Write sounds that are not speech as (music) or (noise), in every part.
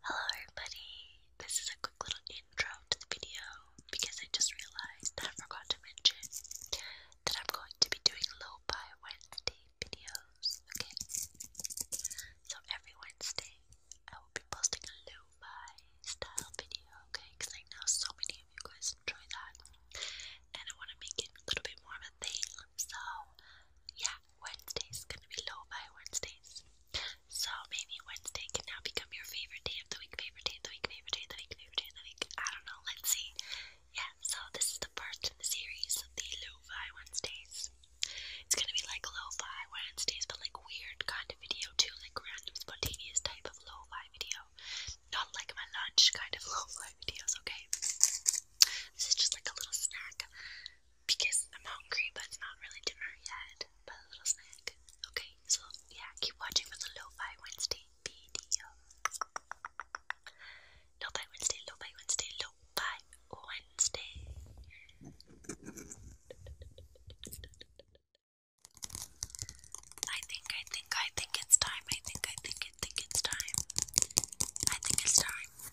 Hello everybody, this is a quick little intro to the video because I just realized I forgot to mention that I'm going to be doing lo Wednesday videos, okay? So every Wednesday I will be posting a lo style video, okay? Because I know so many of you guys enjoy that and I want to make it a little bit more of a thing so, yeah, Wednesday's gonna be low by Wednesdays. So maybe Wednesday can now become your favorite day of the week, favorite day of the week, favorite day of the week, favorite day of the week. I don't know, let's see. Yeah, so this is the part in the series of the Lo-Fi Wednesdays. It's gonna be like Lo-Fi Wednesdays, but like weird kind of video too, like random spontaneous type of Lo-Fi video. Not like my lunch kind of (laughs) Lo-Fi videos, okay? This is just like a little snack because I'm hungry, but it's not really dinner yet. But a little snack. Okay, so yeah, keep watching for the Lo-Fi Wednesday video. Lo-Fi Wednesday, Lo-Fi Wednesday, Lo-Fi Wednesday. I think, I think, I think it's time. I think, I think, I think it's time. I think it's time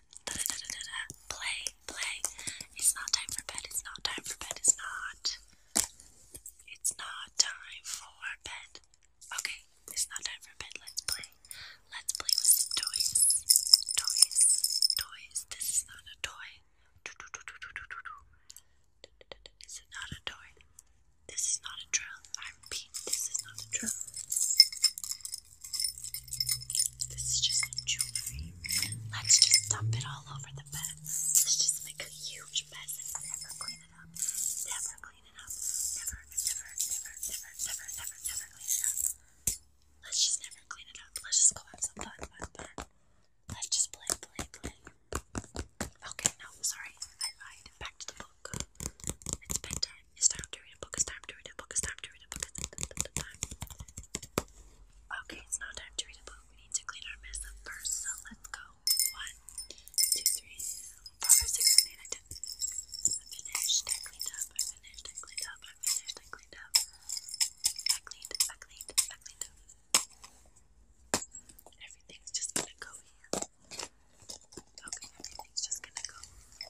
da da da da da play, play. It's not time for bed, it's not time for bed, it's not. It's not time for bed. Okay, it's not time for bed, let's play. Let's play with some toys. Toys, toys. This is not a toy. This is not a toy. This is not a drill. I repeat, this is not a drill. This is just some jewelry. Let's just dump it all over the bed. Let's just make a huge mess and never clean it up. Never clean it up. Never, never, never, never, never, never, never clean it up. Let's just never clean it up. Let's just go have some fun, fun, fun. Let's just play, play, play. Okay, no, sorry. I lied. Back to the book. It's bedtime. It's time to read a book. It's time to read a book. It's time to read a book. Okay, it's not time to read a book. We need to clean our mess up first. So let's go. One, two, three, four, five, six, seven, eight, nine, ten. I finished. I cleaned up. I finished. I cleaned up. I finished. I cleaned up. I cleaned. I cleaned. I cleaned up. Everything's just gonna go here. Okay, everything's just gonna go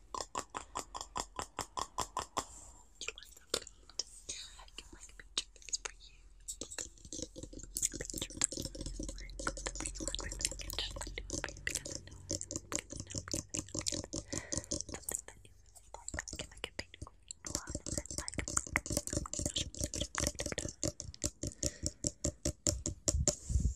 You want some paint? I can make picture things for you. Picture things. One really can just like do it for you because I know because I know because I know something that you really like. I can make a paint for you. One and then like. Thank you.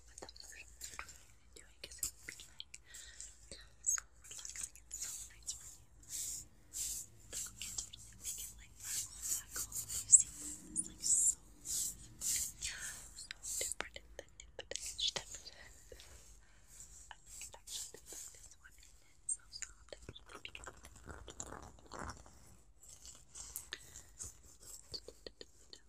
with the things you doing because it like so relaxing and so nice for you. make it like black on black on. You different I think it actually looks like one and then so soft.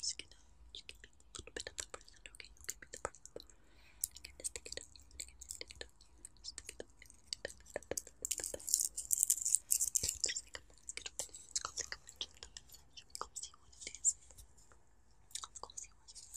Just gonna, you can be a little bit of the person, okay? You can be the person. I'm gonna stick it up, I'm gonna stick it up, stick it up, It's like a beautiful thing. It's called like a mental massage. We go see what it is. Let's go see what it is. It's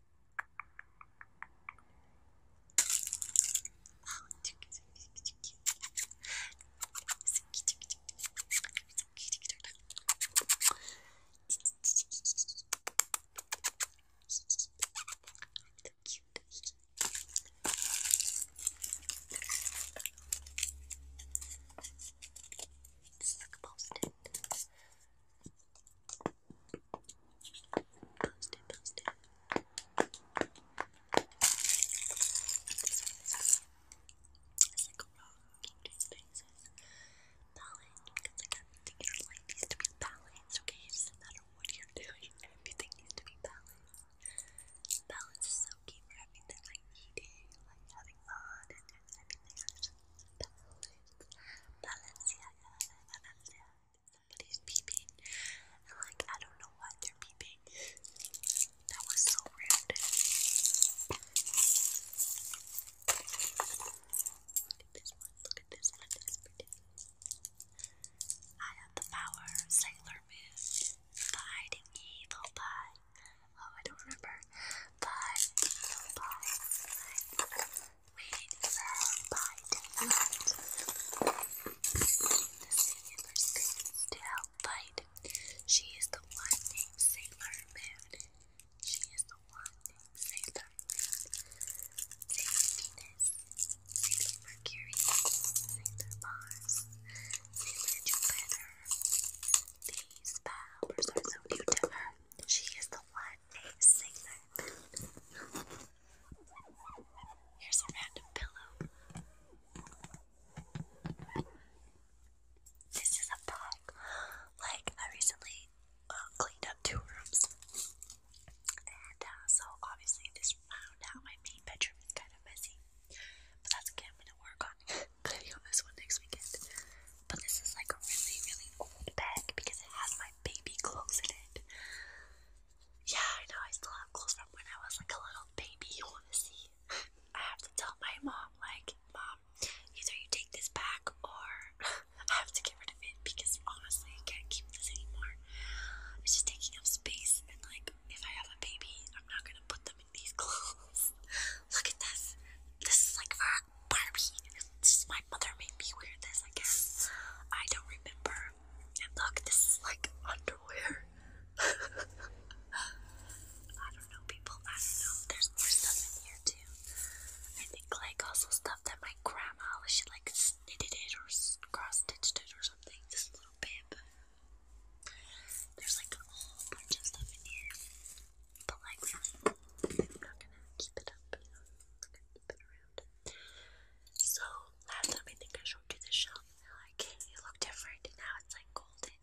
It's like a post-it. Post it, post it. needs to be balanced, okay? It what you're doing, everything needs to be balanced. Balance so key everything like eating, like having fun and everything. Balance, balance, yeah, somebody's peeping. And like, I don't know what they're peeping. That was so rude. Look at this one, look at this one, I have the power, Sailor Moon, hiding evil pie. Oh, I don't remember. Bye. Rated for by Daylight. The scene in her screams to help fight. She is the one named Sailor Moon. She is the one named Sailor Moon. Sailor Venus, Sailor Mercury, Sailor Mars, Sailor Jupiter. These powers are so new to her. She is the one birthday singer. Here's a random pillow. This is a bag. Like, I recently cleaned up two rooms. And so, obviously, this round out my main bedroom is kind of messy. But that's okay, I'm gonna work on cleaning on this one next weekend. But this is like a really, really old bag because it has my baby clothes in it. Yeah, I know, I still have clothes from when I was like a little baby, you wanna see? I have to tell my mom, like, Mom, either you take this back or (laughs) I have to get rid of it because honestly, I can't keep this anymore. It's just taking up space, and like, if I have a baby, I'm not gonna put them in these (laughs) clothes. Look at this. This is like for a Barbie. This my mother made me wear this, I guess. I don't remember. And look, this is like underwear. (laughs) I don't know, people. I don't know. There's more stuff in here too. I think like also stuff that my grandma, she like knitted it or cross stitched it or something. This little bib. There's like a whole bunch of stuff in here. But like, I'm not gonna keep it up. I'm gonna keep it around around. So last time I think I showed you the shop like, hey, you different now it's like golden.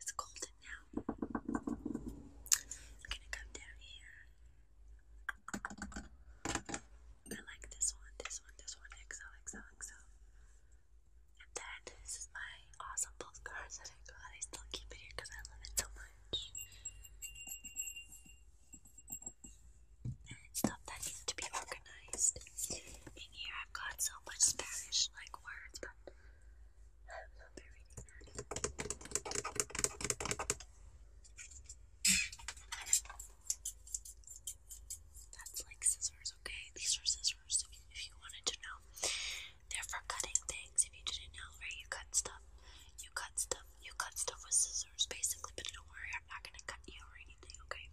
It's golden now. I'm gonna come down here. I like this one, this one, this one, XO, XO, XO. And then this is my awesome postcards that I got. I still keep it here because I love it so much stuff that needs to be organized. In here, I've got so much Spanish like words, but I will not be reading that. That's like scissors, okay? These are scissors if you wanted to know. They're for cutting things. If you didn't know, right? You cut stuff. You cut stuff you cut stuff with scissors basically, but don't worry, I'm not gonna cut you or anything, okay?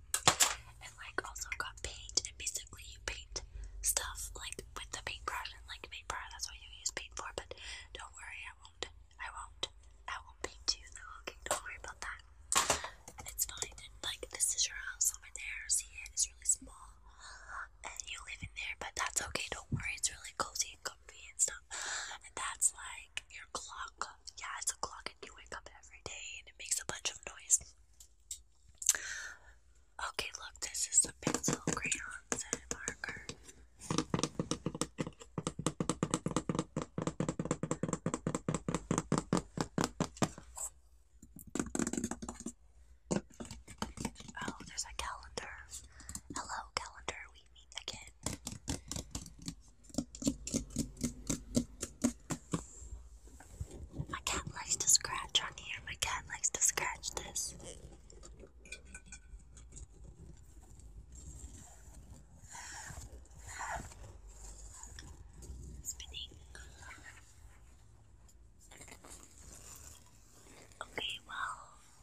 And like also got paint, and basically you paint stuff like with the paintbrush and like paintbrush. That's what you use paint for. But don't worry, I won't. I won't. I won't paint you though. No, okay, don't worry about that. And It's fine. And like this is your house over there. See it? It's really small, and you live in there. But that's okay. Don't worry. It's really cozy and comfy and stuff that's like your clock. Yeah, it's a clock, and you wake up every day, and it makes a bunch of noise. Okay, look, this is some pencil, crayons, and marker. Oh, there's a calendar. Hello, calendar we meet again. My cat likes to scratch on here. My cat likes to scratch this. Spinning. Okay, well,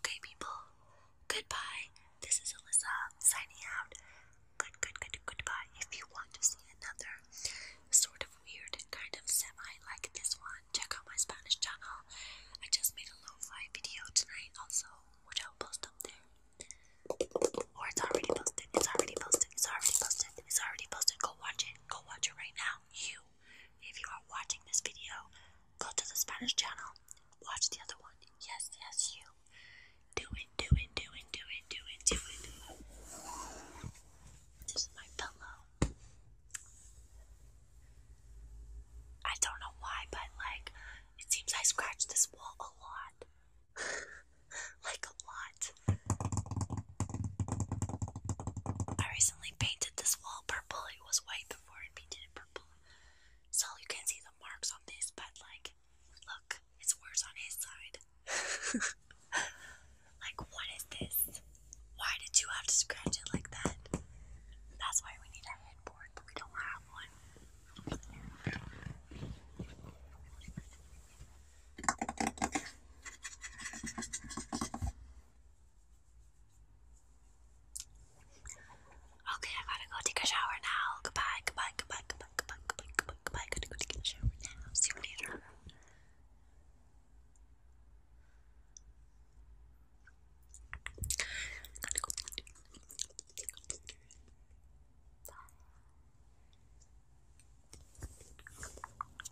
Okay, people. Goodbye. This is Alyssa signing out. Good, good, good, goodbye. If you want to see another sort of weird kind of semi like this one, check out my Spanish channel. I just made a lo-fi video tonight, also, which I'll post up there. Or it's already posted. It's already posted. It's already posted. It's already posted. Go watch it. Go watch it right now. You too. If you are watching this video, go to the Spanish channel, watch the other one. Yes, yes, you. Do it, do it, do it, do it, do it, do it. This is my pillow. I don't know why, but like, it seems I scratch this wall a lot. (laughs) like, a lot. I recently painted this wall purple. It was white before I painted it purple. So you can see the marks on this, but like, look, it's worse on his side. (laughs) like, what is this? Why did you have to scratch it like that? That's why we need a headboard, but we don't have one. Okay, I gotta go take a shower now. Goodbye, goodbye, goodbye, goodbye, goodbye, goodbye, goodbye, goodbye. I got go take a shower now. See you later. Bye.